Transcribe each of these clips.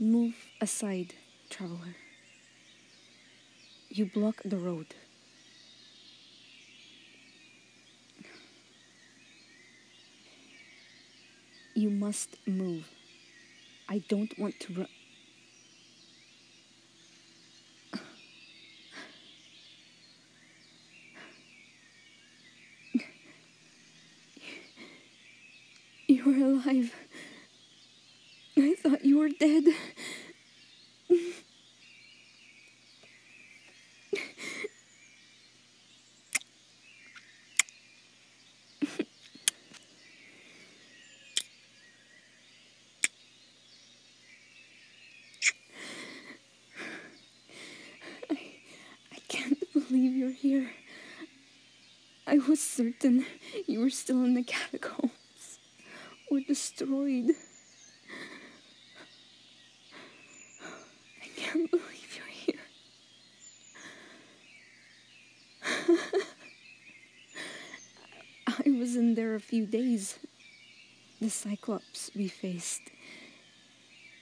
Move aside, traveler. You block the road. You must move. I don't want to run. You're alive. I thought you were dead. I, can't believe you're here. I was certain you were still in the catacombs or destroyed. I can't believe you're here. I was in there a few days. The Cyclops we faced,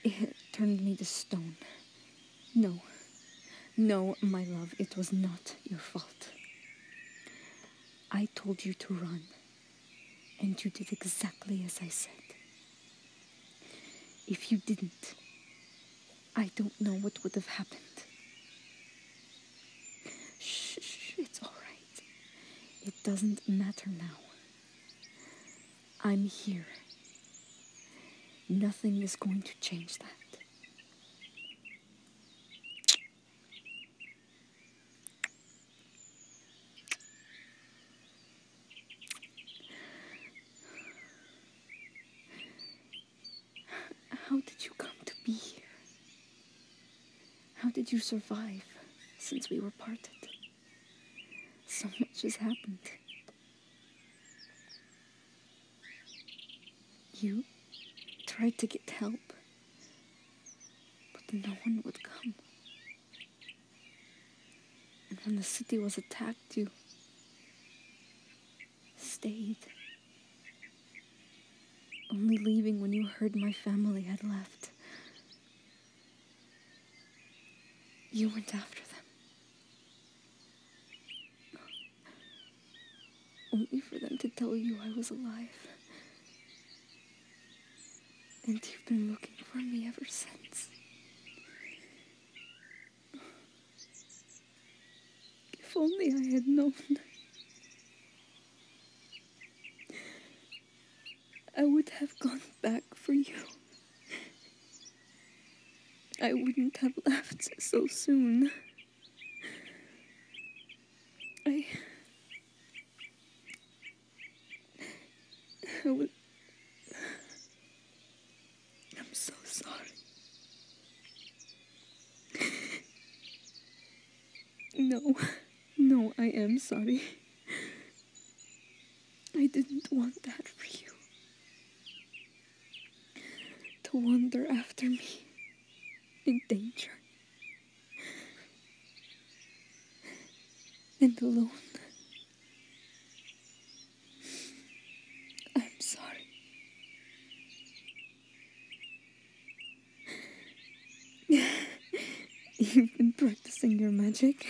it turned me to stone. No, no, my love, it was not your fault. I told you to run. And you did exactly as I said. If you didn't, I don't know what would have happened. Shh, it's all right. It doesn't matter now. I'm here. Nothing is going to change that. How did you come to be here? How did you survive since we were parted? So much has happened. You tried to get help, but no one would come. And when the city was attacked, you stayed. Only leaving when you heard my family had left. You went after them. Only for them to tell you I was alive. And you've been looking for me ever since. If only I had known. I would have gone back for you. I wouldn't have left so soon. I. I am so sorry. No, no, I am sorry. I didn't want that for you. To wander after me in danger and alone. I'm sorry. You've been practicing your magic.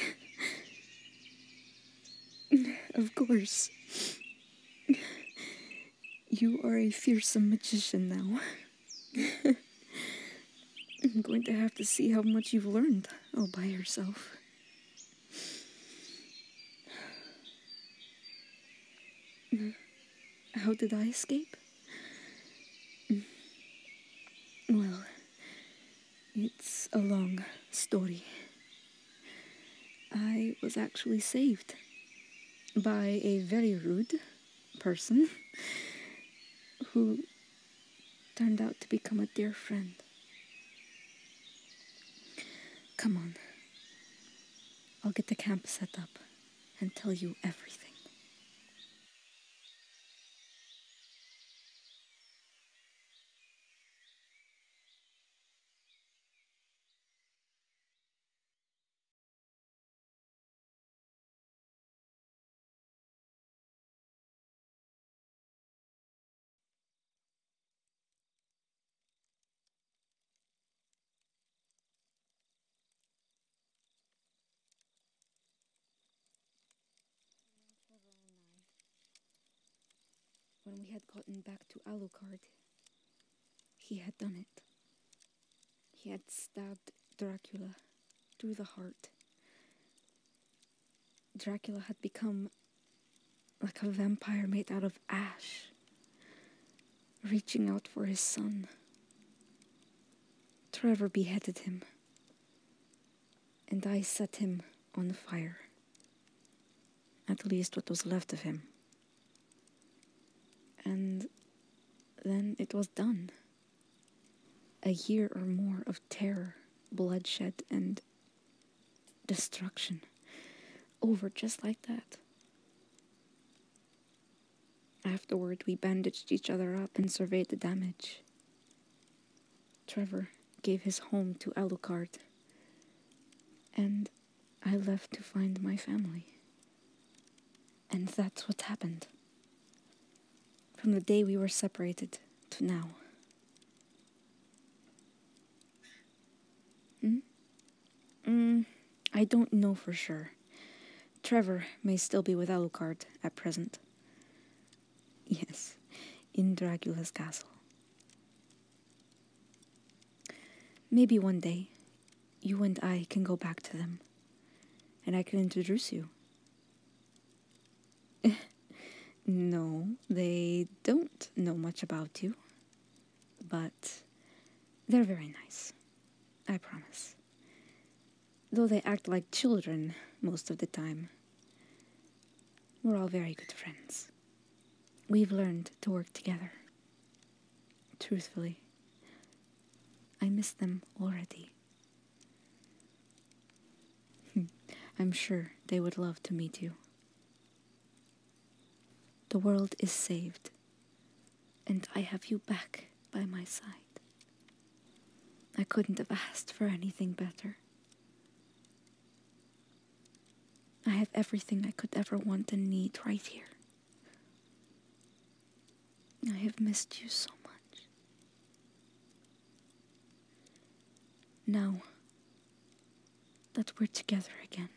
Of course. You are a fearsome magician now. I'm going to have to see how much you've learned all by yourself. How did I escape? Well, it's a long story. I was actually saved by a very rude person who turned out to become a dear friend. Come on. I'll get the camp set up and tell you everything. When we had gotten back to Alocard, he had done it. He had stabbed Dracula through the heart. Dracula had become like a vampire made out of ash, reaching out for his son. Trevor beheaded him, and I set him on fire. At least what was left of him. And then it was done. A year or more of terror, bloodshed, and destruction over just like that. Afterward, we bandaged each other up and surveyed the damage. Trevor gave his home to Alucard, and I left to find my family. And that's what happened. From the day we were separated to now. Hmm? Mm, I don't know for sure. Trevor may still be with Alucard at present. Yes, in Dracula's castle. Maybe one day, you and I can go back to them, and I can introduce you. no, they don't know much about you, but they're very nice, I promise. Though they act like children most of the time, we're all very good friends. We've learned to work together. Truthfully, I miss them already. I'm sure they would love to meet you. The world is saved, and I have you back by my side. I couldn't have asked for anything better. I have everything I could ever want and need right here. I have missed you so much. Now that we're together again,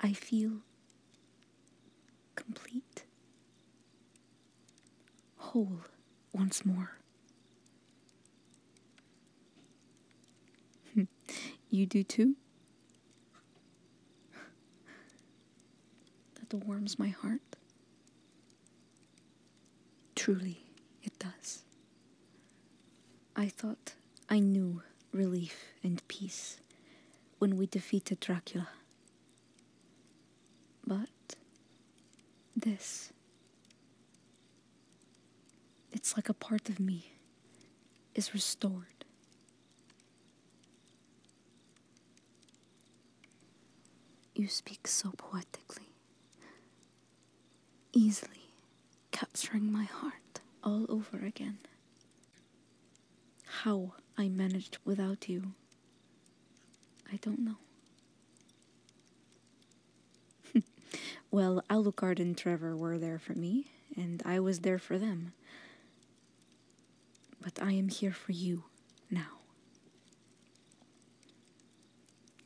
I feel complete, whole once more. you do too? that warms my heart. Truly, it does. I thought I knew relief and peace when we defeated Dracula. But this, it's like a part of me is restored you speak so poetically, easily capturing my heart all over again. How I managed without you, I don't know. well, Alucard and Trevor were there for me, and I was there for them. But I am here for you now.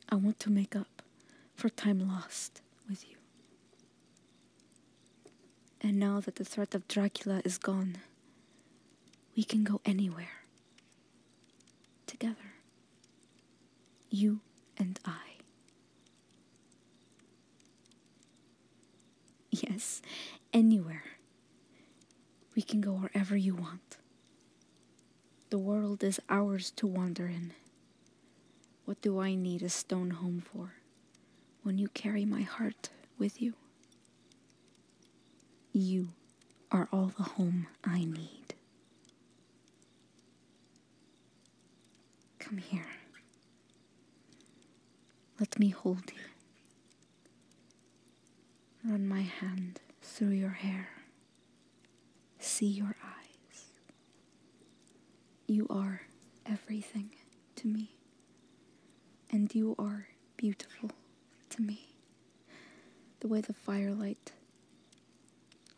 I want to make up for time lost with you. And now that the threat of Dracula is gone, we can go anywhere. Together. You and I. Yes, anywhere. We can go wherever you want. The world is ours to wander in. What do I need a stone home for when you carry my heart with you? You are all the home I need. Come here. Let me hold you. Run my hand through your hair. See your eyes. You are everything to me, and you are beautiful to me. The way the firelight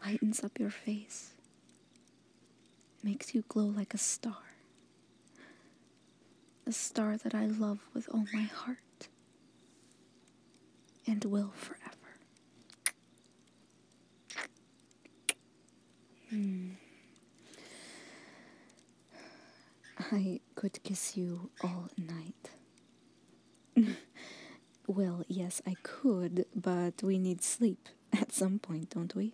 lightens up your face makes you glow like a star. A star that I love with all my heart and will forever. Hmm. I could kiss you all night. well, yes, I could, but we need sleep at some point, don't we?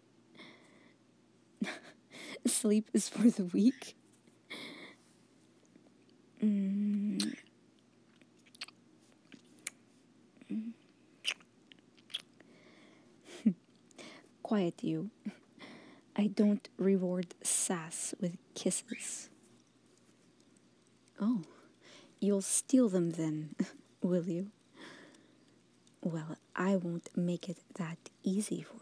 Sleep is for the weak. Mm. Quiet you. I don't reward sass with kisses. Oh, you'll steal them then, will you? Well, I won't make it that easy for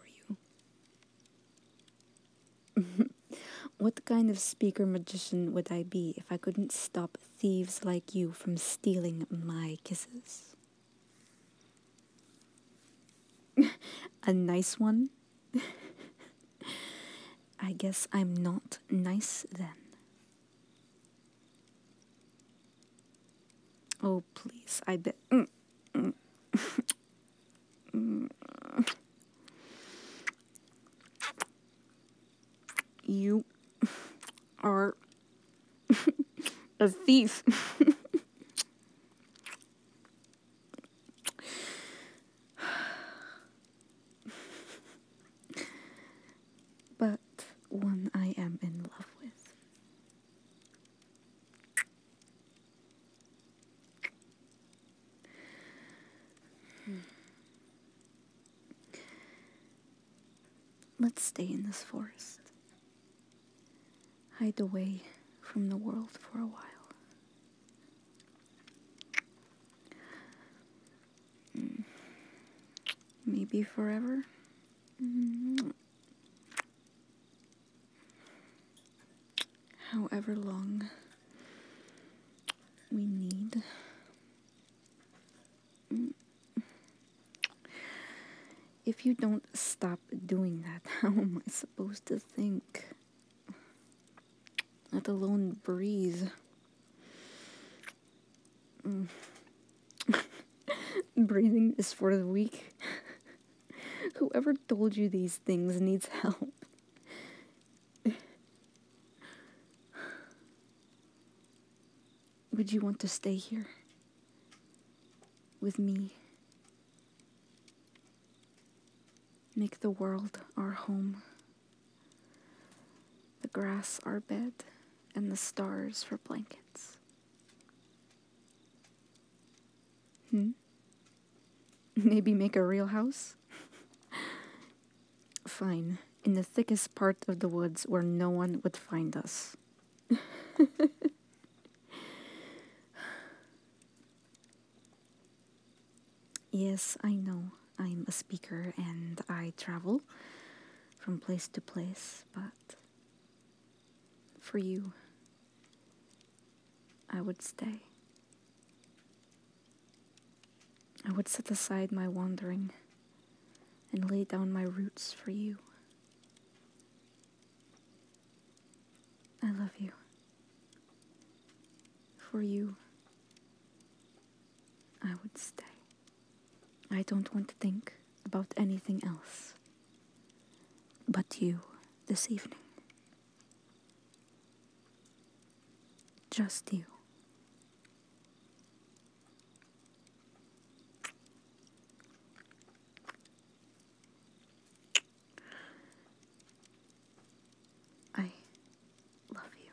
you. what kind of speaker magician would I be if I couldn't stop thieves like you from stealing my kisses? A nice one? I guess I'm not nice then. Oh, please, I bet. Mm, mm, mm. You are a thief but one I am in love with. Hmm. Let's stay in this forest. Hide away from the world for a while. Maybe forever? However long we need. If you don't stop doing that, how am I supposed to think? Let alone breathe. Breathing is for the weak. Whoever told you these things needs help. Would you want to stay here? With me? Make the world our home the grass our bed, and the stars for blankets. Hmm? Maybe make a real house? Fine, in the thickest part of the woods where no one would find us. yes, I know. I'm a speaker and I travel from place to place, but for you, I would stay. I would set aside my wandering and lay down my roots for you. I love you. For you, I would stay. I don't want to think about anything else but you this evening. Just you. I love you.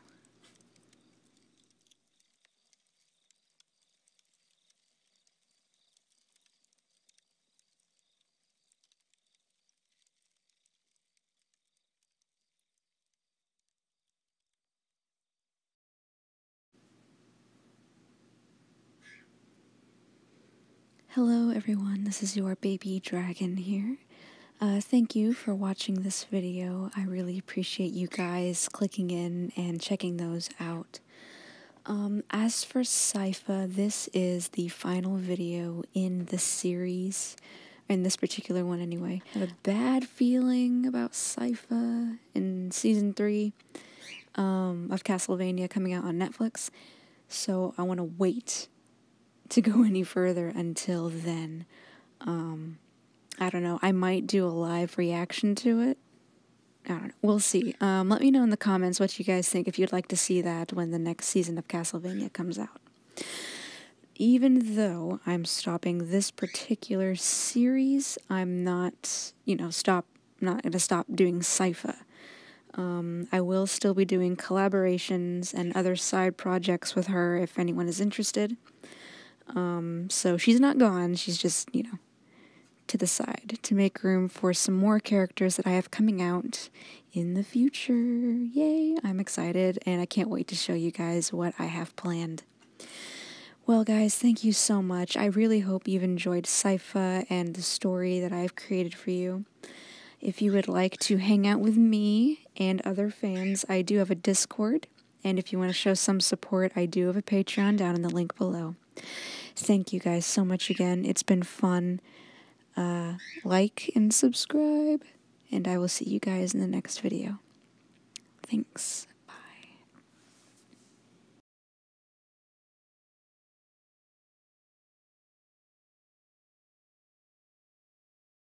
Hello, everyone. This is your baby dragon here. Uh, thank you for watching this video. I really appreciate you guys clicking in and checking those out. Um, as for Sypha, this is the final video in the series, in this particular one anyway. I have a bad feeling about Sypha in season three um, of Castlevania coming out on Netflix, so I want to wait to go any further until then. Um, I don't know. I might do a live reaction to it. I don't know. We'll see. Um, let me know in the comments what you guys think if you'd like to see that when the next season of Castlevania comes out. Even though I'm stopping this particular series, I'm not, you know, stop not going to stop doing Sypha. Um, I will still be doing collaborations and other side projects with her if anyone is interested. Um, so she's not gone, she's just, you know, to the side to make room for some more characters that I have coming out in the future. Yay! I'm excited and I can't wait to show you guys what I have planned. Well, guys, thank you so much. I really hope you've enjoyed Sypha and the story that I've created for you. If you would like to hang out with me and other fans, I do have a Discord. And if you want to show some support, I do have a Patreon down in the link below. Thank you guys so much again. It's been fun. Uh, like and subscribe. And I will see you guys in the next video. Thanks. Bye.